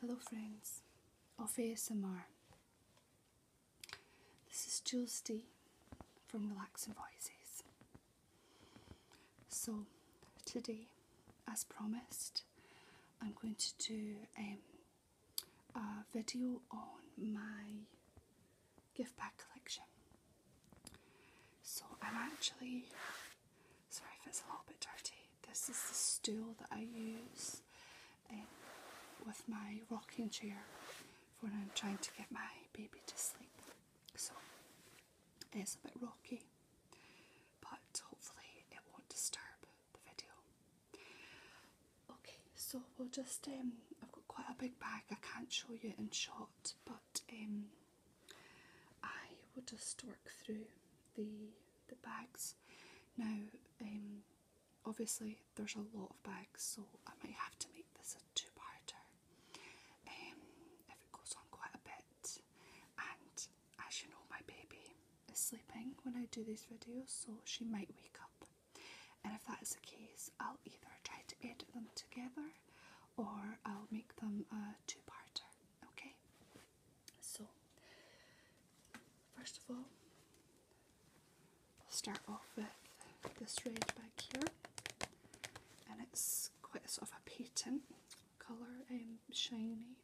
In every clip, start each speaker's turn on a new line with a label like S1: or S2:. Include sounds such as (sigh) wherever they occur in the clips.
S1: Hello, friends of ASMR. This is Jules D from The Relaxing Voices. So, today, as promised, I'm going to do um, a video on my gift bag collection. So, I'm actually Sorry if it's a little bit dirty. This is the stool that I use eh, with my rocking chair when I'm trying to get my baby to sleep. So it's a bit rocky, but hopefully it won't disturb the video. Okay, so we'll just, um, I've got quite a big bag, I can't show you in shot, but um, I will just work through the the bags. Now, um, obviously, there's a lot of bags, so I might have to make this a two-parter um, if it goes on quite a bit. And as you know, my baby is sleeping when I do these videos, so she might wake up. And if that is the case, I'll either try to edit them together or I'll make them a two-parter, okay? So, first of all, I'll start off with this red back here, and it's quite sort of a patent colour, um, shiny,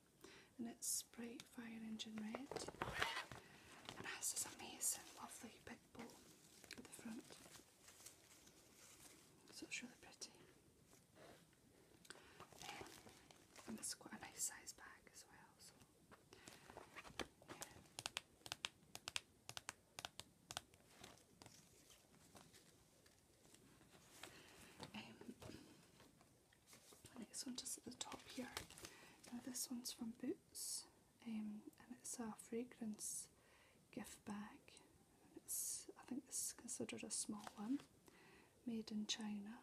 S1: and it's bright fire engine red, and has this amazing, lovely big bow at the front. So it's really pretty. And it's quite a nice size bag as well. So um, next one just at the top here. Now this one's from Boots, um, and it's a fragrance gift bag. I think this is considered a small one, made in China.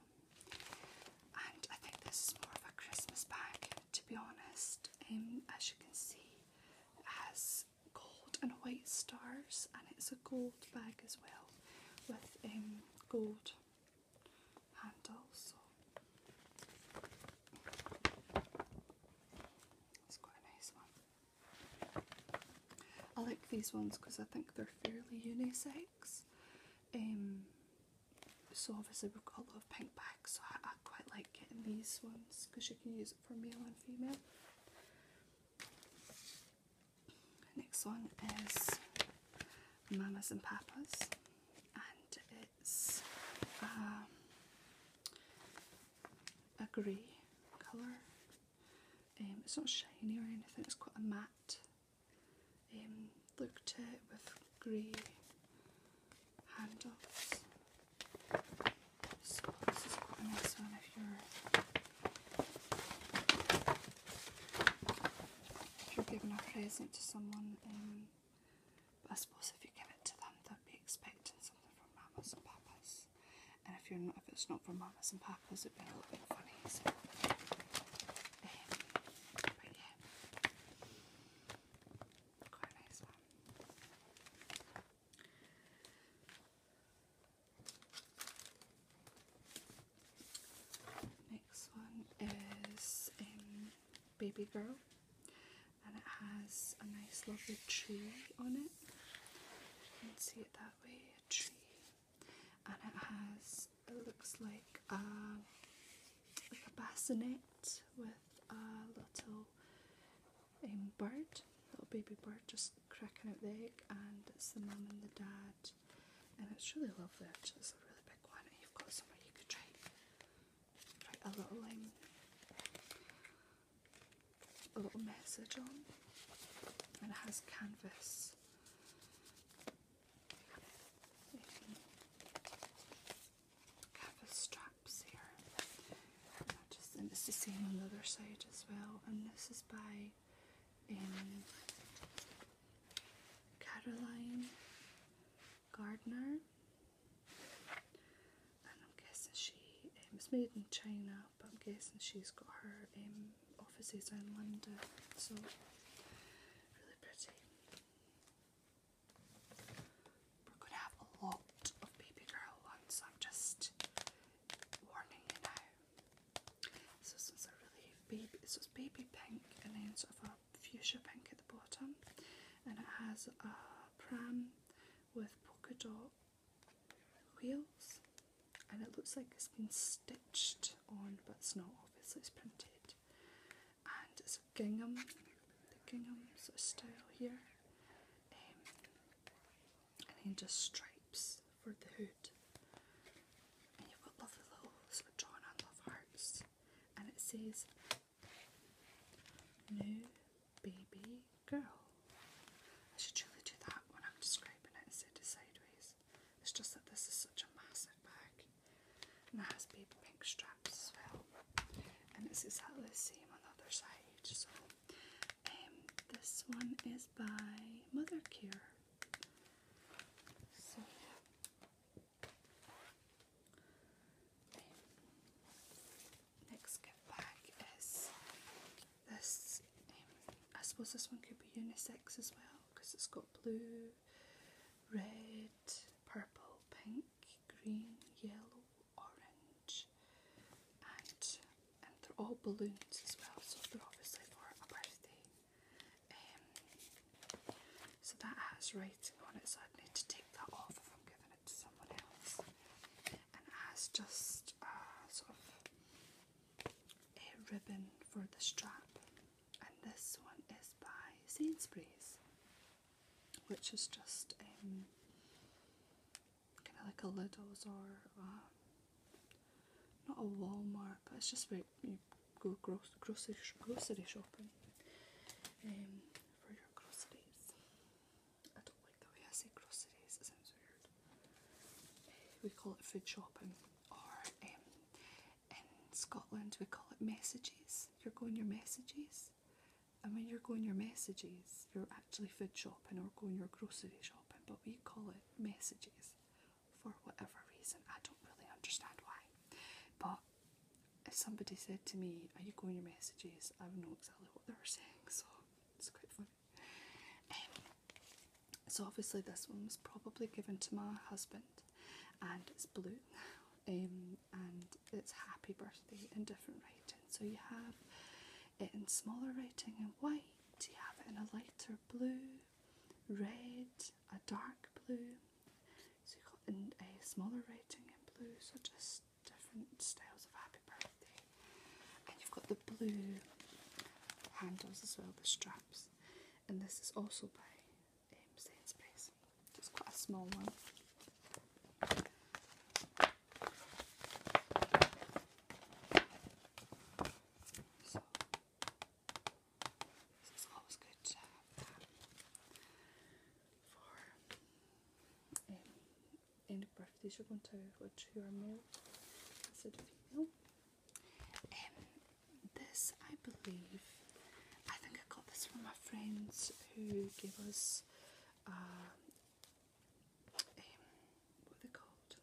S1: And I think this is more of a Christmas bag, to be honest. Um, as you can see, it has gold and white stars, and it's a gold bag as well, with um, gold handles. it's quite a nice one. I like these ones because I think they're fairly unisex. Um, so obviously we've got a lot of pink bags, so I, quite like getting these ones because you can use it for male and female. Next one is Mamas and Papas, and it's um, a grey colour um, it's not shiny or anything, it's quite a matte Looked um, look with grey handles. So this is quite nice one if you're, if you're giving a present to someone. Um, I suppose if you give it to them, they'll be expecting something from mamas and papas and if you're if it's not from mamas and papas, it'd be a little bit funny. Next one is um, Baby Girl, and it has a nice, lovely tree on it. You can see it that way a tree, and it has it looks like um, a, bassinet with a little um, bird, little baby bird just cracking out the egg, and it's the mom and the dad, and it's really lovely. Actually, it's a really big one, and you've got somewhere you could try, a little um, a little message on, and it has canvas cover straps here. just, and it's the same on the other side as well. And this is by um, Caroline Gardner. And I'm guessing she um, was made in China but I'm guessing she's got her um, offices in London, so really pretty. We're going to have a lot of baby girl ones, I'm just warning you now. So this is a really baby, so it's baby pink and then sort of a fuchsia pink at the bottom and it has a pram with polka dot wheels and it looks like it's been stitched on, but it's not, obviously, it's printed. And it's a gingham, the gingham sort of style here, um, and then just stripes for the hood. And you've got lovely little sort of drawn love hearts, and it says New Baby Girl. I should really do that when I'm describing it instead sideways. It's just that this is such a massive bag and it has big pink straps as well. And it's exactly the same on the other side. So um, this one is by Mothercare. So um, next gift bag is this, I suppose this one could be unisex as well because it's got blue, red, purple, pink, green, yellow, orange, and and they're all balloons as well, so they're obviously for a birthday. Um, so that has writing on it, so I'd need to take that off if I'm giving it to someone else. And it has just sort of a ribbon for the strap, and this one is by Sainsbury's, which is just um, kind of like a Lidl's or um, not a Walmart, but it's just where you go gross, grocery, grocery shopping um, for your groceries. I don't like the way I say groceries, it sounds weird. We call it food shopping, or um, in Scotland we call it messages. You're going your messages, and when you're going your messages, you're actually food shopping or going your grocery shopping, but we call it messages for whatever reason. I don't really understand why, but if somebody said to me, Are you going your messages? I would know exactly what they were saying, so it's quite fun. Um, so obviously this one was probably given to my husband, and it's blue, um, and it's happy birthday in different writing. So you have it in smaller writing in white, you have it in a lighter blue, red, a dark blue. So you have got in a smaller writing in blue, so just different styles of happy birthday. And you've got the blue handles as well, the strap and this is also by um, Sainsbury's. It's quite a small one. So, this is always good to have for um, any you're going to have, which you are male female. Um, this I believe, I think I got this from my friends who gave us uh, um, what they called?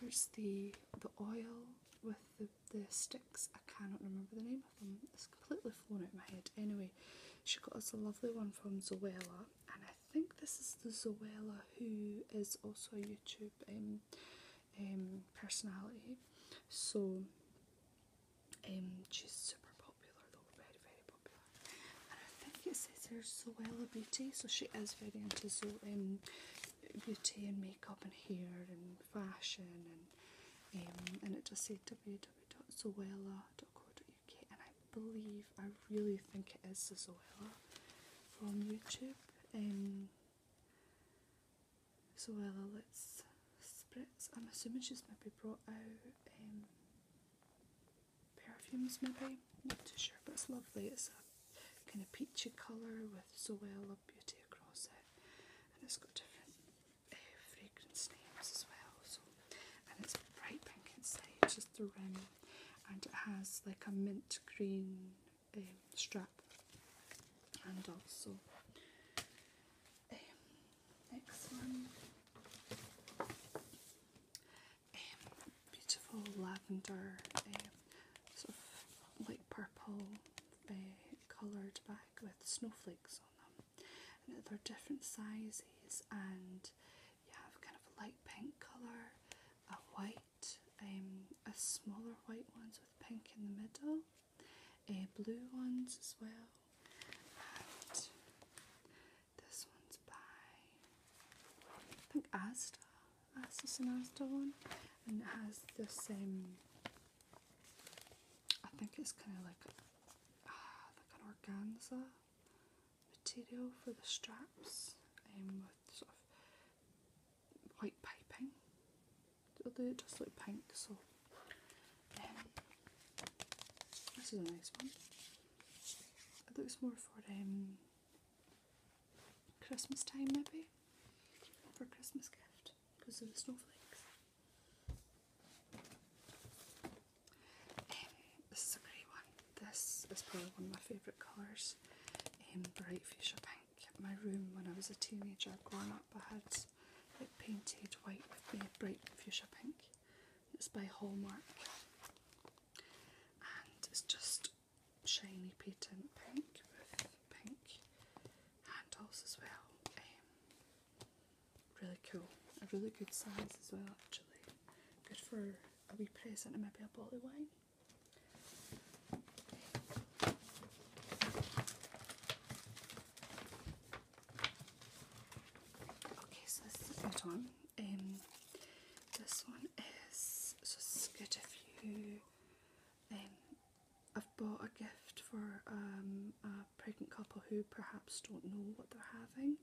S1: There's the the oil with the, the sticks. I cannot remember the name of them. It's completely flown out of my head. Anyway, she got us a lovely one from Zoella and I think this is the Zoella who is also a YouTube um, um, personality. So um, she's super popular though, very very popular. And I think it says here Zoella Beauty, so she is very into so, um, beauty and makeup and hair and fashion and um, and it just said www.zoella.co.uk and I believe I really think it is the Zoella from YouTube. Um, Zoella Let's Spritz. I'm assuming she's going to be brought out um, perfumes maybe, not too sure, but it's lovely. It's a kind of peachy colour with Zoella Beauty across it and it's got different uh, fragrance names as well. So, And it's bright pink inside, just the rim and it has like a mint green um, strap and also um, um beautiful lavender um, sort of light purple uh, coloured bag with snowflakes on them and they're different sizes and you have kind of light pink colour, a white um, a smaller white ones with pink in the middle, a eh, blue ones as well, and this one's by I think Asda, Asda's an Asda one, and it has the same. Um, I think it's kind of like uh, like an organza material for the straps um, sort of white piping. Although it does look pink, so um, this is a nice one. It looks more for um, Christmas time, maybe for a Christmas gift because of the snowflakes. Um, this is a grey one. This is probably one of my favourite colours, um, bright fuchsia pink. My room when I was a teenager growing up, I had it painted white with uh, bright fuchsia pink. It's by Hallmark and it's just shiny patent pink with pink handles as well. Um, really cool. A really good size as well actually. Good for a wee present and maybe a bottle of wine. Okay, so this is the one. Um, this one is so good if you. Um, I've bought a gift for um, a pregnant couple who perhaps don't know what they're having,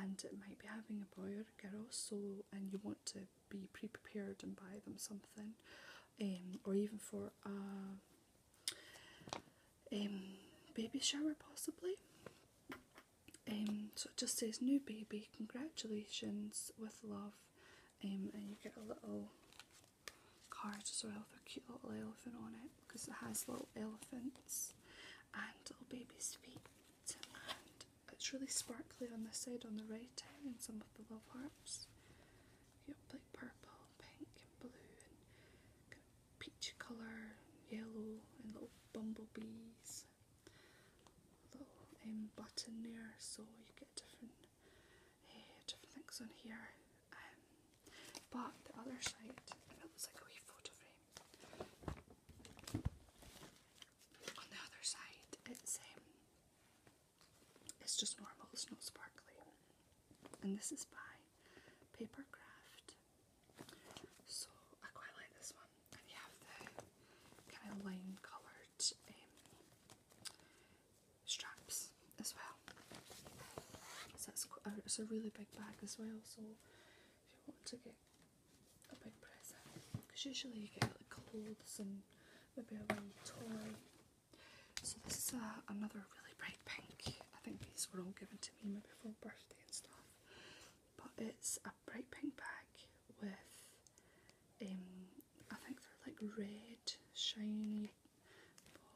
S1: and it might be having a boy or girl. So, and you want to be pre prepared and buy them something, um, or even for a um, baby shower, possibly. Um, so it just says new baby, congratulations with love, um, and you get a little card as well with a cute little elephant on it because it has little elephants and little baby's feet it's really sparkly on this side on the writing and some of the love hearts. You have like purple, pink, and blue, and got colour, yellow, and little bumblebees. A little um, button there, so you get different, eh, different things on here. Um, but the other side, it looks like a wee photo frame. On the other side, it's um, it's just normal. It's not sparkly. And this is by Paper Craft. So I quite like this one. And you have the kind of lime coloured um, straps as well. So it's, uh, it's a really big bag as well. So if you want to get a big present because usually you get like clothes and maybe a wee toy. So this is a, another really bright pink. I think these were all given to me maybe for birthday and stuff. But it's a bright pink bag with, um, I think they're like red shiny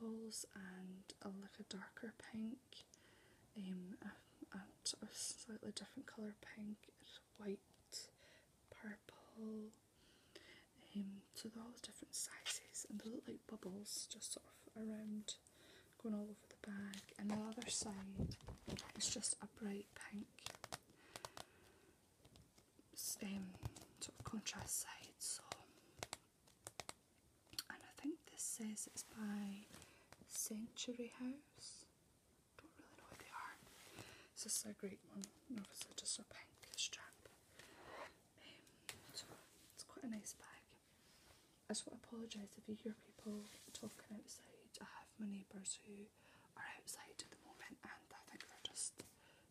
S1: balls and a, like a darker pink, um, a, a slightly different colour pink, white purple, um, so they're all the different sizes and they look like bubbles just sort of around going all over the bag and the other side is just a bright pink um, sort of contrast side so and I think this says it's by Century House don't really know what they are. This is a great one. Obviously, just a pink strap. Um, it's quite a nice bag. I just want to apologise if you hear people talking outside. I have my neighbours who are outside at the moment, and I think they're just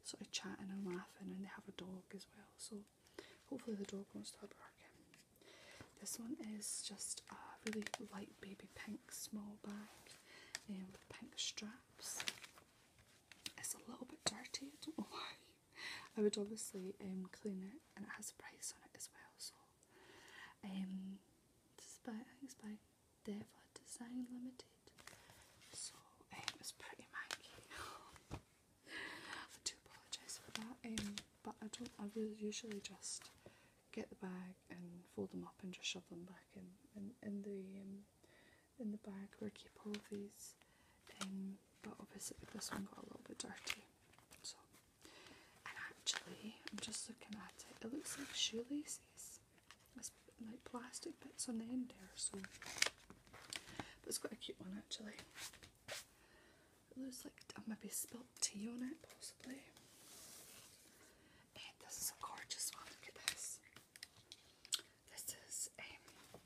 S1: sort of chatting and laughing, and they have a dog as well. So hopefully the dog won't start barking. This one is just a really light baby pink small bag with pink straps. It's a little bit dirty, I don't know (laughs) why. I would obviously um, clean it and it has a price on it as well. So, um, it's by Deva Design Limited. So, um, was pretty manky. (laughs) I do apologise for that, um, but I don't, I really usually just get the bag and fold them up and just shove them back in in, in the um, in the bag where I keep all of these. Um, but obviously this one got a little bit dirty. So, and actually, I'm just looking at it. It looks like shoelaces. It's like plastic bits on the end there. So, but it's quite a cute one actually. It looks like I maybe spilt tea on it possibly this is a gorgeous one. Look at this. This is um,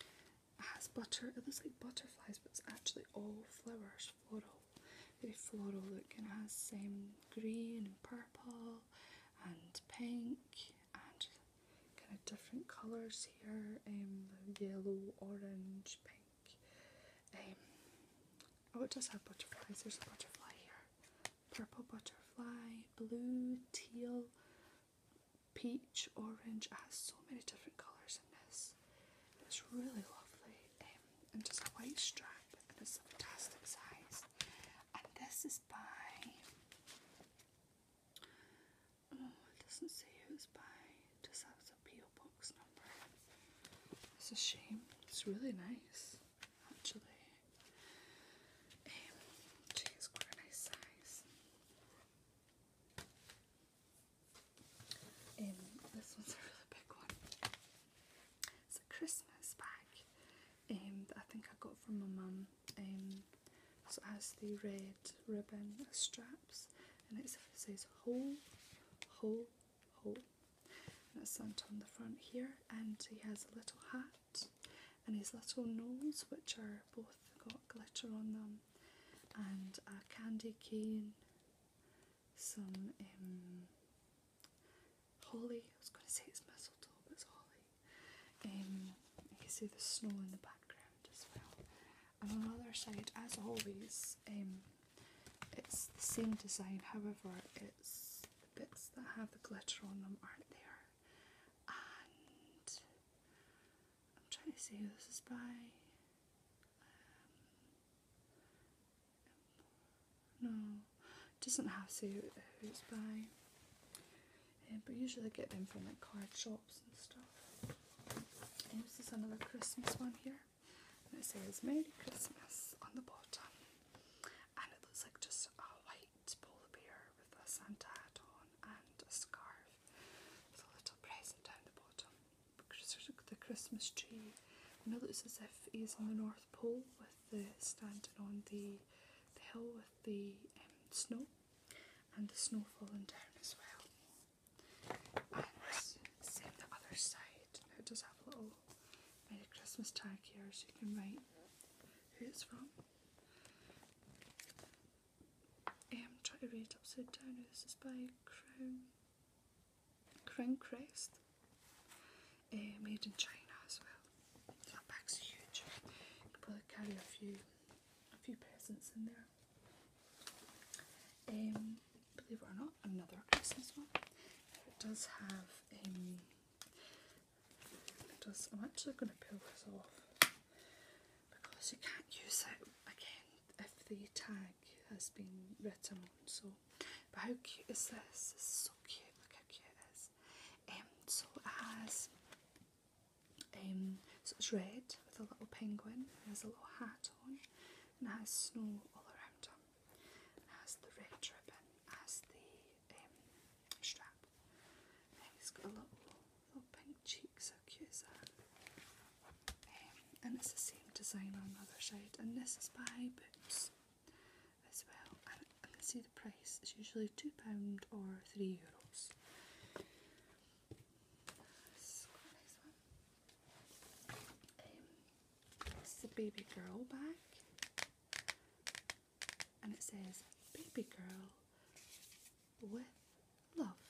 S1: it has butter. It looks like butterflies, but it's actually all flowers, floral, very floral look, and it has um, green and purple and pink and kind of different colours here. Um, yellow, orange, pink. Um, Oh, it does have butterflies. There's a butterfly here. Purple butterfly, blue, teal, peach, orange. It has so many different colours in this. It's really lovely. Um, and just a white strap. And it's a fantastic size. And this is by... Oh, it doesn't say who's by. It just has a P.O. box number. It's a shame. It's really nice actually. Um, geez, what a nice size. Um, this one's a really big one. It's a Christmas bag um, I think I got from my mum. Um, so it has the red ribbon straps and it says whole, whole, hole. Oh, and it's sent on the front here, and he has a little hat and his little nose, which are both got glitter on them, and a candy cane, some um, holly. I was going to say it's mistletoe, but it's holly. Um, you can see the snow in the background as well. And on the other side, as always, um, it's the same design, however, it's the bits that have the glitter on them aren't there. I'm trying to see who this is by. Um, no, doesn't have to who's by. Um, but usually I get them from like card shops and stuff. this is another Christmas one here and it says Merry Christmas on the bottom and it looks like just a white polar bear with a Santa hat on and a scarf with a little present down the bottom. The Christmas tree and it looks as if he's on the North Pole with the standing on the, hill with the um, snow and the snow falling down as well. And same the other side. it does have a little made a Christmas tag here so you can write who it's from. I'm um, trying to read upside down. This is by Crown Crown Crest, uh, made in China as well. That bag's huge. You probably carry a few a few presents in there. Um, believe it or not, got another Christmas one. It does have um, does I'm actually going to peel this off because you can't use it again if the tag has been written on. So, but how cute is this? so cute. Look how cute it is. Um, so it has um, so it's red with a little penguin. It has a little hat on, and it has snow all around her has the red ribbon as the um, strap. And it's got a little, little pink cheeks, how that? Um, and it's the same design on the other side, and this is by Boots as well. I can see the price It's usually £2 or €3. Euros. quite a nice one. Um, this is a baby girl bag. And it says baby girl with love.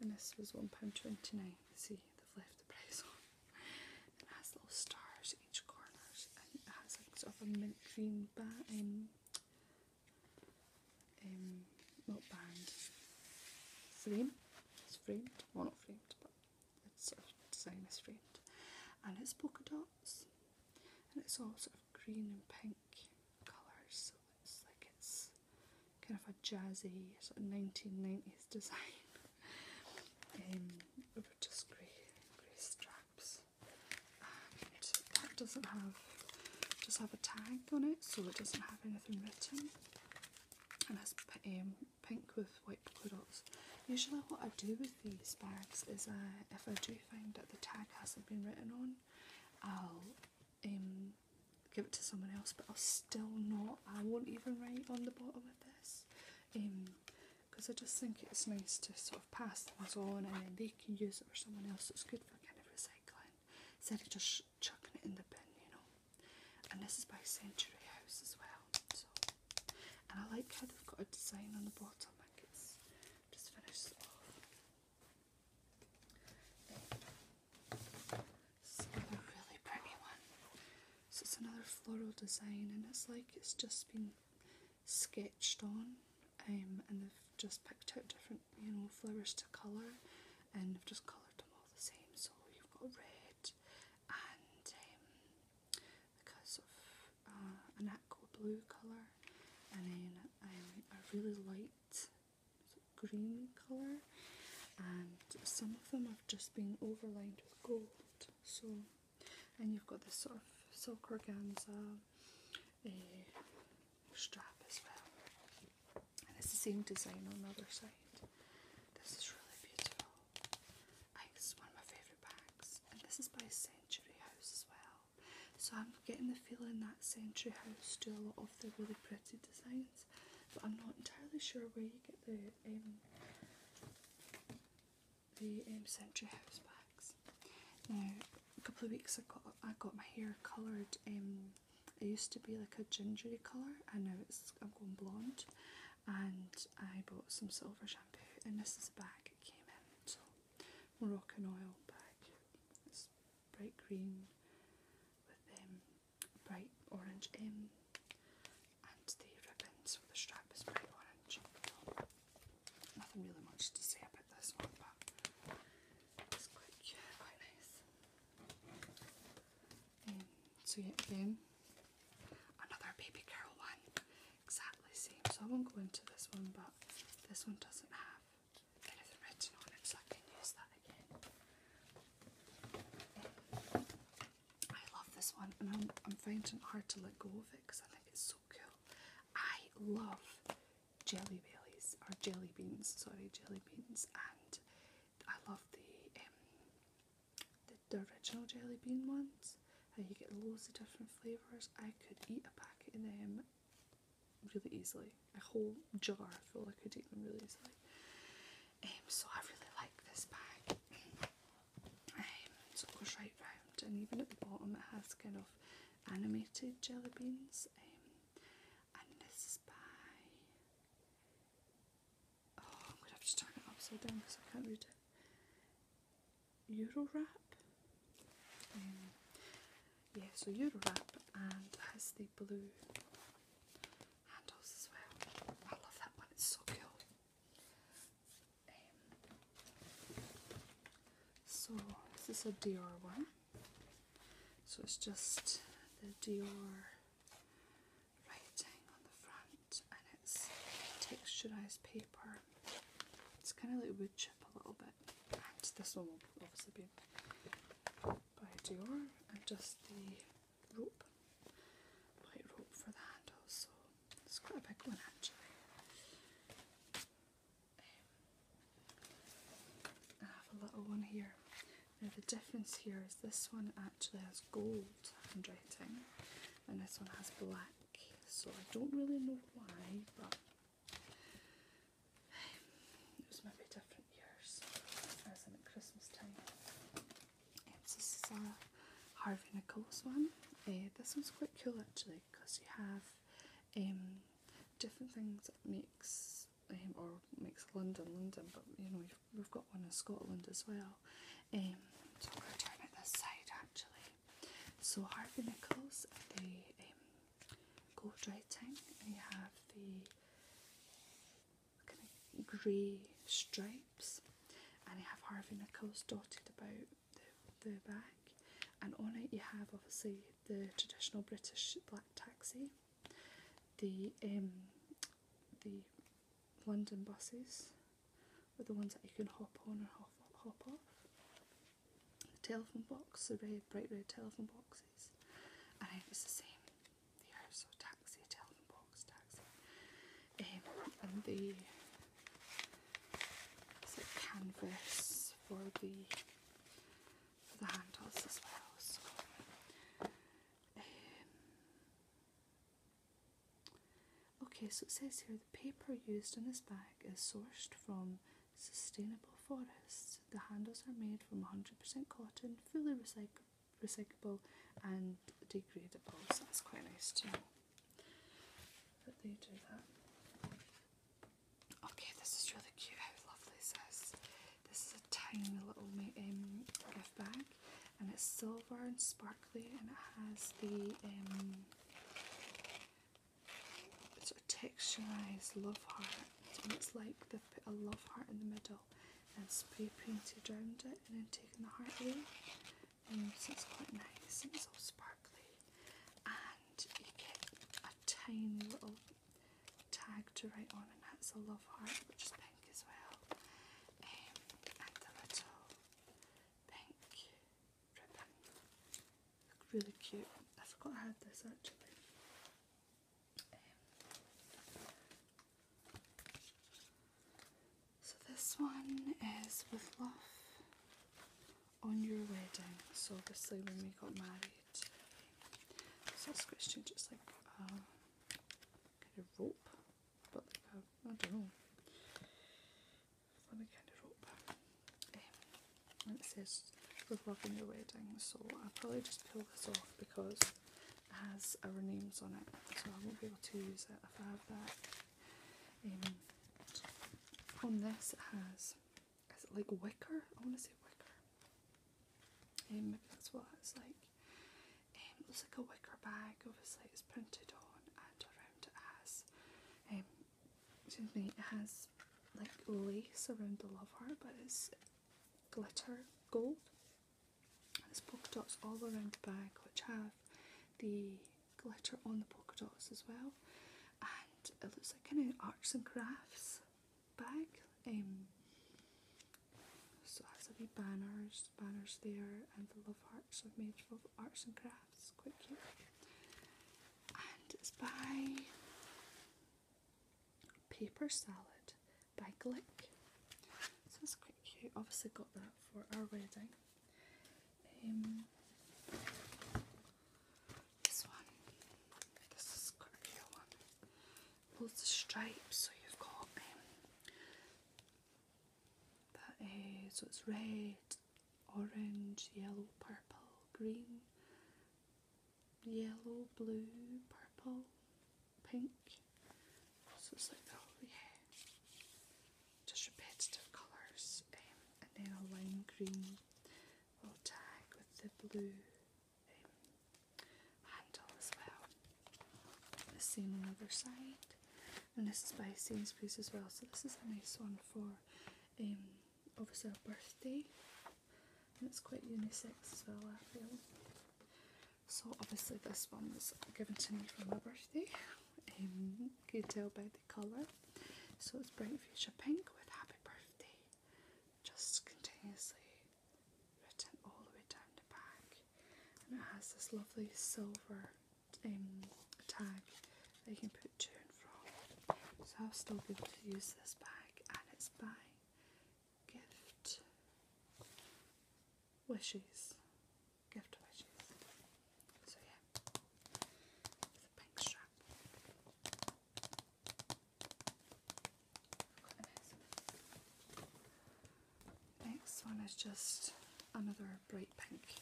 S1: And this was £1.29. See, they've left the price on. It has little stars each corner and it has a sort of a mint green bat um, um, not band. Frame. It's framed. Well not framed but a designer friend. And it's polka dots. And it's all sort of green and pink colours. So it's like it's kind of a jazzy sort of 1990s design. (laughs) um, over just grey, grey straps. And that doesn't have, just have a tag on it. So it doesn't have anything written. And that's um, pink with white corals. Usually what I do with these bags is I, uh, if I do find that the tag hasn't been written on, I'll um, give it to someone else but I'll still not, I won't even write on the bottom of this because um, I just think it's nice to sort of pass things on and then they can use it for someone else. It's good for kind of recycling instead of just chucking it in the bin, you know and this is by Century House as well. So, and I like how they've got a design on the bottom. I think it's just finished off. another really pretty one. So it's another floral design, and it's like it's just been sketched on, um, and they've just picked out different, you know, flowers to colour, and they've just coloured them all the same. So you've got red, and um, because of uh, an aqua blue colour, and then a really light green colour, and some of them have just been overlined with gold. So, and you've got this sort of silk organza eh, strap as well. And it's the same design on the other side. This is really beautiful this is one of my favourite bags, and this is by Century House as well. So I'm getting the feeling that Century House do a lot of the really pretty designs, but I'm not entirely sure where you get the um, the um, Century House bags. Now, a couple of weeks ago, I got my hair coloured. Um, it used to be like a gingery colour, and now it's I'm going blonde and I bought some silver shampoo and this is a bag it came in. So Moroccan oil bag. It's bright green with um, bright orange um, and the ribbons for the strap is bright orange. nothing really much to say about this one but it's quite nice so yeah, again, another baby girl one, exactly same. So I won't go into this one, but this one doesn't have anything written on it, so I can use that again. I love this one, and I'm, I'm finding it hard to let go of it because I think it's so cool. I love jelly bellies or jelly beans, sorry, jelly beans, and I love the um, the, the original jelly bean ones, and you get loads of different flavours. I could eat a packet of them really easily, a whole jar I feel like I could eat them really easily. Um, so I really like this bag. Um, so it goes round, and even at the bottom, it has kind of animated jelly beans. Um, and this is by Oh, I'm gonna have to turn it upside down because I can't read it. Eurowrap. wrap. Um, yeah, so wrap and has the blue handles as well. I love that one, it's so cool. Um, so this is a Dior one. So it's just the Dior writing on the front and it's texturized paper. It's kind of like wood chip a little bit. And this one will obviously be by Dior and just the rope, white rope for the handle. So it's quite a big one actually. Um, I have a little one here. Now the difference here is this one actually has gold handwriting and this one has black. So I don't really know why, but (sighs) it was maybe different years as in at Christmas time. Yes, um, this is a Harvey Nichols one. Uh, this one's quite cool actually because you have um, different things that makes um, or makes London London, but you know you We've got one in Scotland as well. Um, so I'm going to turn it this side actually. So Harvey Nichols, the um, gold writing, and you have the grey stripes, and you have Harvey Nichols dotted about the, the back. And on it you have obviously the traditional British black taxi, the um, the London buses were the ones that you can hop on or hop, hop off. The telephone box, the red, bright red telephone boxes, and it's the same there. So taxi, telephone box, taxi, um, and the canvas for the for the handles as well. Um, Okay, so it says here the paper used in this bag is sourced from sustainable forests. The handles are made from 100% cotton, fully recyclable and degradable. So that's quite nice to know that they do that. Okay, this is really cute. How lovely is This is a tiny little um, gift bag and it's silver and sparkly and it has the um, sort of texturized love heart and it's like they've put a love heart in the middle and spray painted around it and then taking the heart away And um, it's quite nice and it's all sparkly and you get a tiny little tag to write on and that's a love heart which is pink as well, um, and a little pink ribbon. really cute. I forgot I had this actually. Um, so this one is with love on your wedding. So obviously when we got married, um, so it's question just like a kind of rope but uh, I don't know. Let me kind of rope. Um, and it says reworking your wedding, so I'll probably just pull this off because it has our names on it, so I won't be able to use it if I have that. Um, on this, it has is it like wicker? I want to say wicker. Um, maybe that's what it's like. It um, looks like a wicker bag, obviously it's printed on and around it has, um, excuse me, it has like lace around the love heart but it's glitter gold. And there's polka dots all around the bag which have the glitter on the polka dots as well. And it looks like kind of arts and crafts bag. Um, so that's a wee banners, banners there, and the love hearts I've made for arts and crafts. Quite cute. And it's by Paper Salad by Glick. So it's quite cute. Obviously got that for our wedding. Um, this one, this is quite cute one. of stripes, so you've got um, so it's red, orange, yellow, purple, green, yellow, blue, purple, pink. So it's like that, yeah. Just repetitive colours, um, and then a lime green will tag with the blue um, handle as well. The same on the other side. And this is by Sainsbury's as well. So this is a nice one for um, obviously a birthday. And it's quite unisex as well, I feel. So obviously this one was given to me for my birthday. Um, you tell by the colour. So it's bright fuchsia pink with happy birthday. Just continuously written all the way down the back, and it has this lovely silver um, tag that you can put to and fro, So I'll still be able to use this bag, and it's by Gift Wishes. Gift Wishes. So yeah, pink strap. Next one is just another bright pink,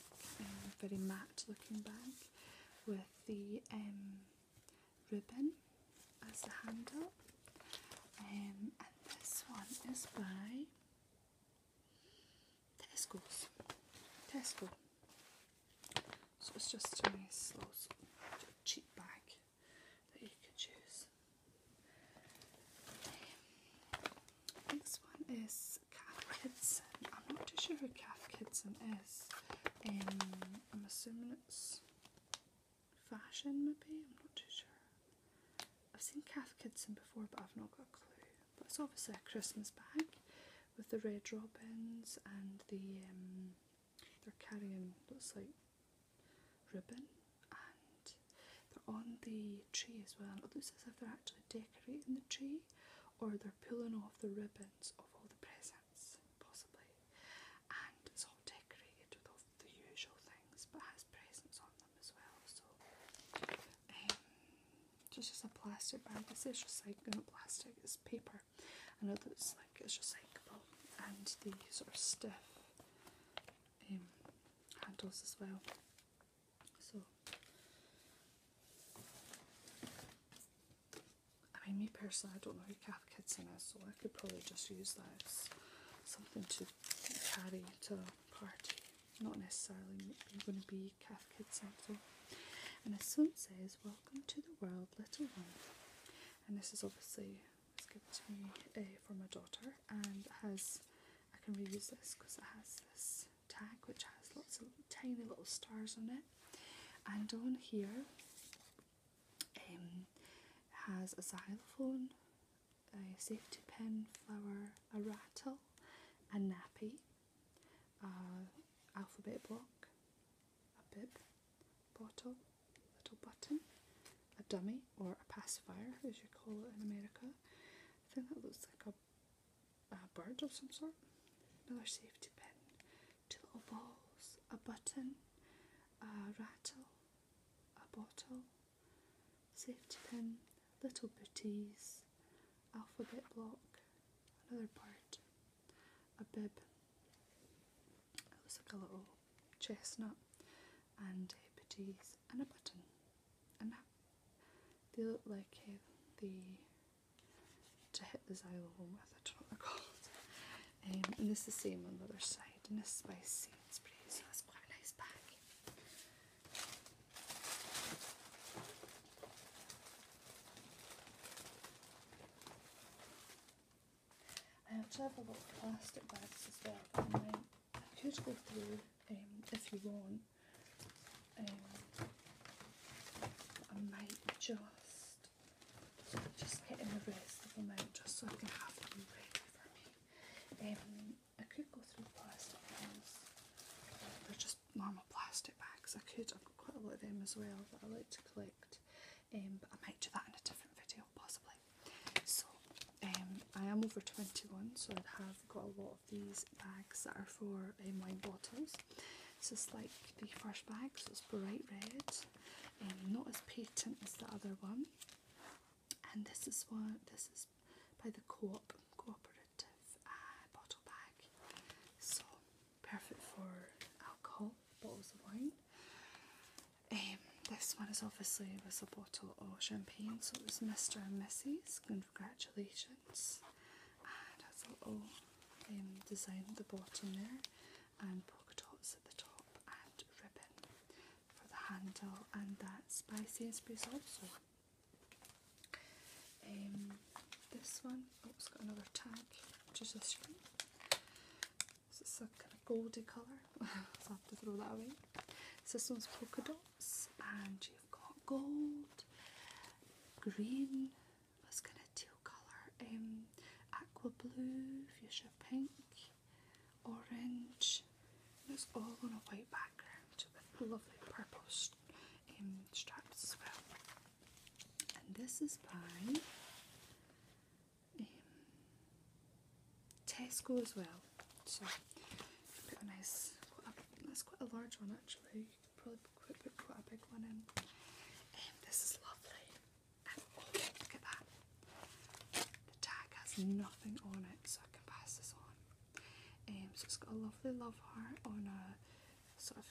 S1: very matte looking bag with the um, ribbon as the handle. Um, and this one is by Tesco's. Tesco. So it's just a nice little cheap bag that you can choose. This one is Cath Kidson. I'm not too sure who Cath Kidson is. I'm assuming it's fashion, maybe. I'm not too sure. I've seen Cath Kidson before, but I've not got a clue. But it's obviously a Christmas bag with the red robins and the um, they're carrying looks like ribbon and they're on the tree as well. It looks as if they're actually decorating the tree or they're pulling off the ribbons of all the presents, possibly. And it's all decorated with all the usual things but has presents on them as well. So um, just as a plastic bag. This is recycling not plastic, it's paper. I know that it's like it's recyclable and these are stiff um, handles as well. So, I mean, me personally, I don't know who calf kids in is, so I could probably just use that as something to carry to a party. Not necessarily going to be calf kids though. And this one says, Welcome to the world, little one. And this is obviously was given to me uh, for my daughter, and it has I can reuse this because it has this tag which has lots of tiny little stars on it, and on here um, has a xylophone, a safety pen flower, a rattle, a nappy, a alphabet block, a bib, bottle, little button, a dummy or a pacifier, as you call it in America. I think that looks like a, a bird of some sort. Another safety pin, little balls, a button, a rattle, a bottle, safety pin, little booties, alphabet block, another bird, a bib. It looks like a little chestnut and uh, butties and a button and they look like uh, the to hit the xylem with, I don't know what they're called um, and this is the same on the other side and this spice seed spray so that's quite a nice bag I have a lot plastic bags as well I could go through um, if you want. Um, I might just just getting the rest of them out just so I can have them ready for me. Um, I could go through plastic ones. They're just normal plastic bags. I could. I've got quite a lot of them as well that I like to collect. Um, but I might do that in a different video possibly. So um, I am over 21, so I have got a lot of these bags that are for um, wine bottles. So it's like the first bag, so it's bright red, um, not as patent as the other one. And this is one. This is by the Co-op Cooperative uh, bottle bag. So perfect for alcohol bottles of wine. Um, this one is obviously with a bottle of champagne, so it was Mr. and Mrs. Congratulations. And has um, design at the bottom there, and polka dots at the top, and ribbon for the handle, and that's by Sainsbury's also. Um, this one, oh, it's got another tag, which is this one. So it's a kind of goldy colour i have to throw that away. Systems polka dots, and you've got gold, green, that's kind of teal colour, um, aqua blue, fuchsia pink, orange. And it's all on a white background with lovely purple st um, straps as well. And this is by um, Tesco as well. So put a nice, that's quite a large one actually. You could probably put, quite a big one in. Um, this is lovely. And oh, look at that. The tag has nothing on it, so I can pass this on. Um, so it's got a lovely love heart on a sort of,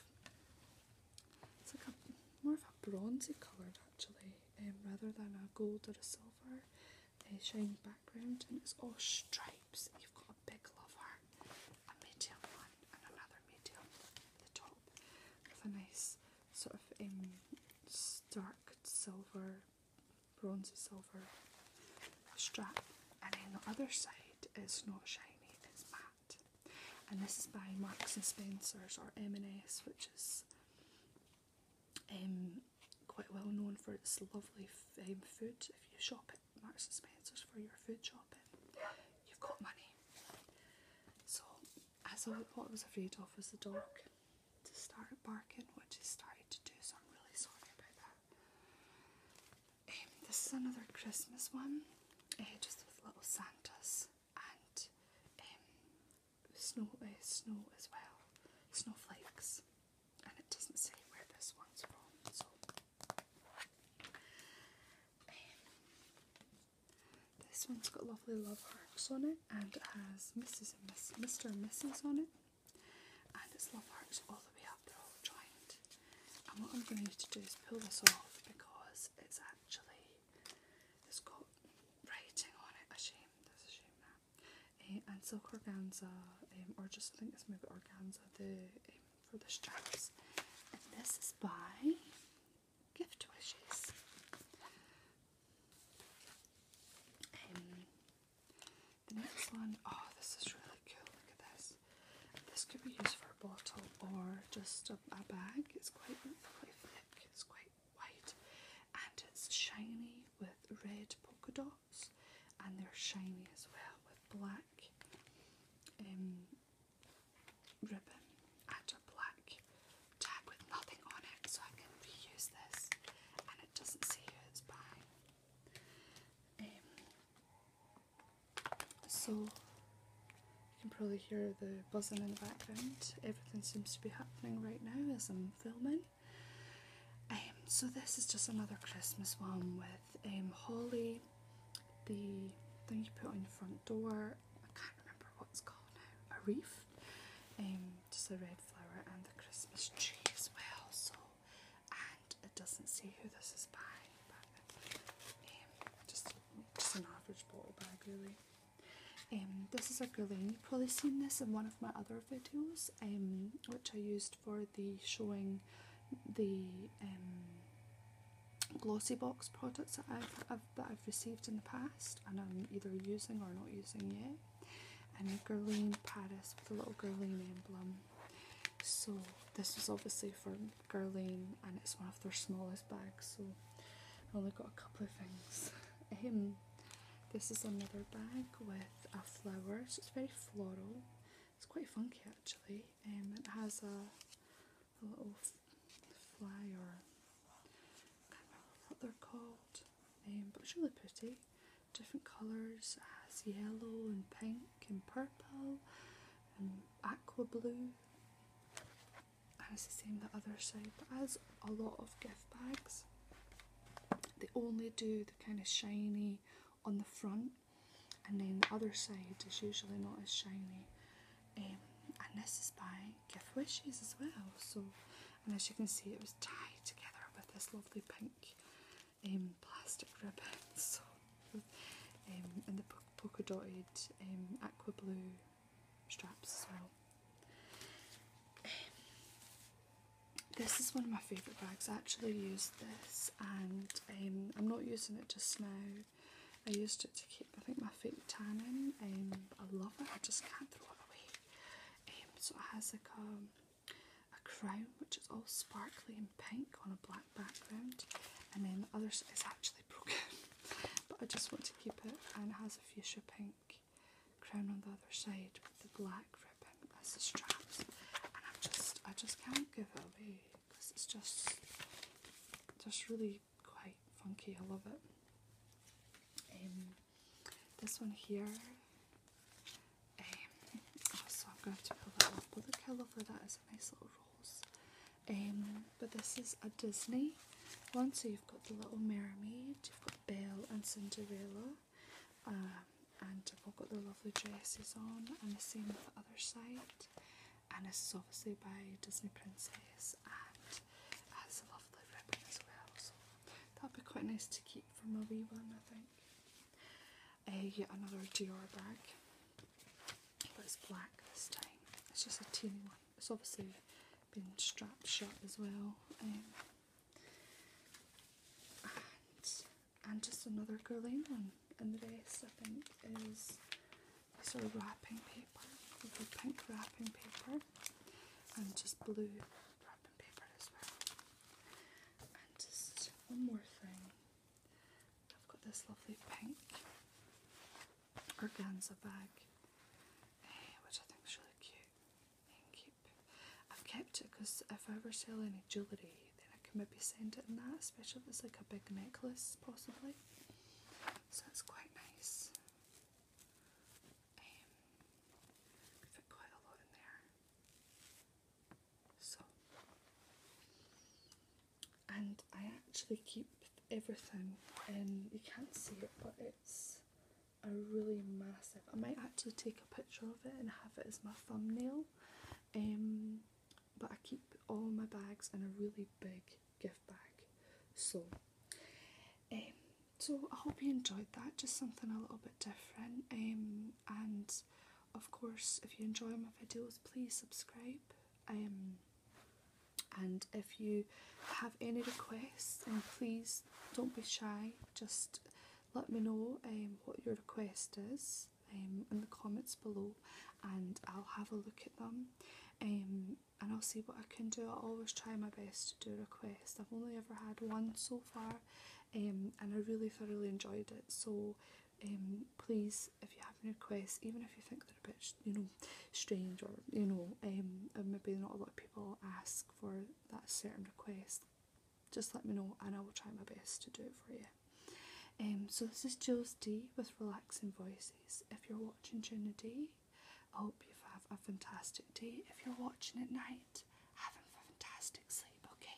S1: it's like a more of a bronzy coloured actually, um, rather than a gold or a silver they're showing background and it's all stripes. You've got a big love heart, a medium one and another medium at the top with a nice sort of um, dark silver, bronzy silver strap. And then the other side is not shiny, it's matte. And this is by Marks and Spencer's or M&S, which is um, quite well known for its lovely um, food. If you shop at Marks and Spencer's for your food shopping, you've got money. So as I, what I was afraid of was the dog to start barking, which it started to do. So I'm really sorry about that. Um, this is another Christmas one, uh, just with little Santas and snow uh, snow as well, snowflakes, and it doesn't say where this one's from. So this one's got lovely love hearts on it, and it has Mrs. and Miss, Mr. and Mrs. on it, and it's love hearts all the way up. They're all giant. And what I'm going to, to do is pull this off because it's actually it's got writing on it. A shame. That's a shame and eh, silk organza, or just I think it's maybe organza the for the straps. And this is by Gift Wishes. the next one, oh, this is really cool. Look at this. This could be used for a bottle or just a, a bag. It's quite quite thick. It's quite White and it's shiny with red polka dots and they're shiny as well with black um, ribbon and a black tag with nothing on it so I can reuse this and it doesn't say it's by. Um, so you can probably hear the buzzing in the background. Everything seems to be happening right now as I'm filming. Um, so this is just another Christmas one with um, holly, the thing you put on your front door. I can't remember what it's called now. A wreath, And um, just a red flower, and the Christmas tree as well. So, and it doesn't say who this is by, but um, just just an average bottle bag really. And this is a Guerlain probably seen this in one of my other videos, um, which I used for the showing the um, glossy box products that I've, that I've received in the past, and I'm either using or not using yet. And a Guerlain Paris with a little Guerlain emblem. So this is obviously for Guerlain, and it's one of their smallest bags. So I have only got a couple of things. (laughs) Um, this is another bag with a flower, so it's very floral. It's quite funky actually. Um, it has a, little fly or I can't remember what they're called, um, but it's really pretty. Different colours. It has yellow and pink and purple and aqua blue. And it's the same the other side, it has a lot of gift bags. They only do the kind of shiny on the front, and then the other side is usually not as shiny. Um, and this is by Gift Wishes as well. So, and as you can see, it was tied together with this lovely pink um, plastic ribbon. (laughs) So, um, and the polka dotted um, aqua blue straps as well. Eh, this is one of my favourite bags. I actually use this and um, I'm not using it just now. I used it to keep I think my fake tan and I love it, I just can't throw it away. Um, so it has like a, a crown which is all sparkly and pink on a black background and then the other side is actually (laughs) broken but I just want to keep it and it has a fuchsia pink crown on the other side with the black ribbon as the straps, and i just I just can't give it away because it's just just really quite funky. I love it. Um, this one here. Um, oh, so I'm going to have to pull that up. Look how lovely that is. A nice little rose. Um, but this is a Disney one. So you've got the Little Mermaid, you've got Belle and Cinderella. Um, and I've got the lovely dresses on, and the same with the other side. And this is obviously by Disney Princess, and has a lovely ribbon as well. So that'll be quite nice to keep for my wee one, I think. Uh, yet another Dior bag, but it's black this time. It's just a teeny one. It's obviously been strapped shut as well. Um, and, just another girly one. And the rest I think is sort of wrapping paper. we pink wrapping paper and just blue wrapping paper as well. And just one more thing. I've got this lovely pink organza bag, eh, which I think is really cute. Thank I've kept it because if I ever sell any jewellery, then I can maybe send it in that, especially if it's like a big necklace, possibly. So that's quite nice. Um, fit quite a lot in there. So, and I actually keep everything in. You can't see it, but it's a really massive. I might actually take a picture of it and have it as my thumbnail. Um, but I keep all my bags in a really big gift bag. So, um, so I hope you enjoyed that. Just something a little bit different. Um, and of course, if you enjoy my videos, please subscribe. Um, and if you have any requests, and please don't be shy just let me know um, what your request is um, in the comments below and I'll have a look at them um, and I'll see what I can do. I always try my best to do requests. I've only ever had one so far um, and I really thoroughly enjoyed it so um, please if you have any requests even if you think they're a bit you know strange or you know um, maybe not a lot of people ask for that certain request, just let me know and I will try my best to do it for you. Um, so this is Jules D with Relaxing Voices. If you're watching during the day, I hope you have a fantastic day. If you're watching at night, have a fantastic sleep, okay?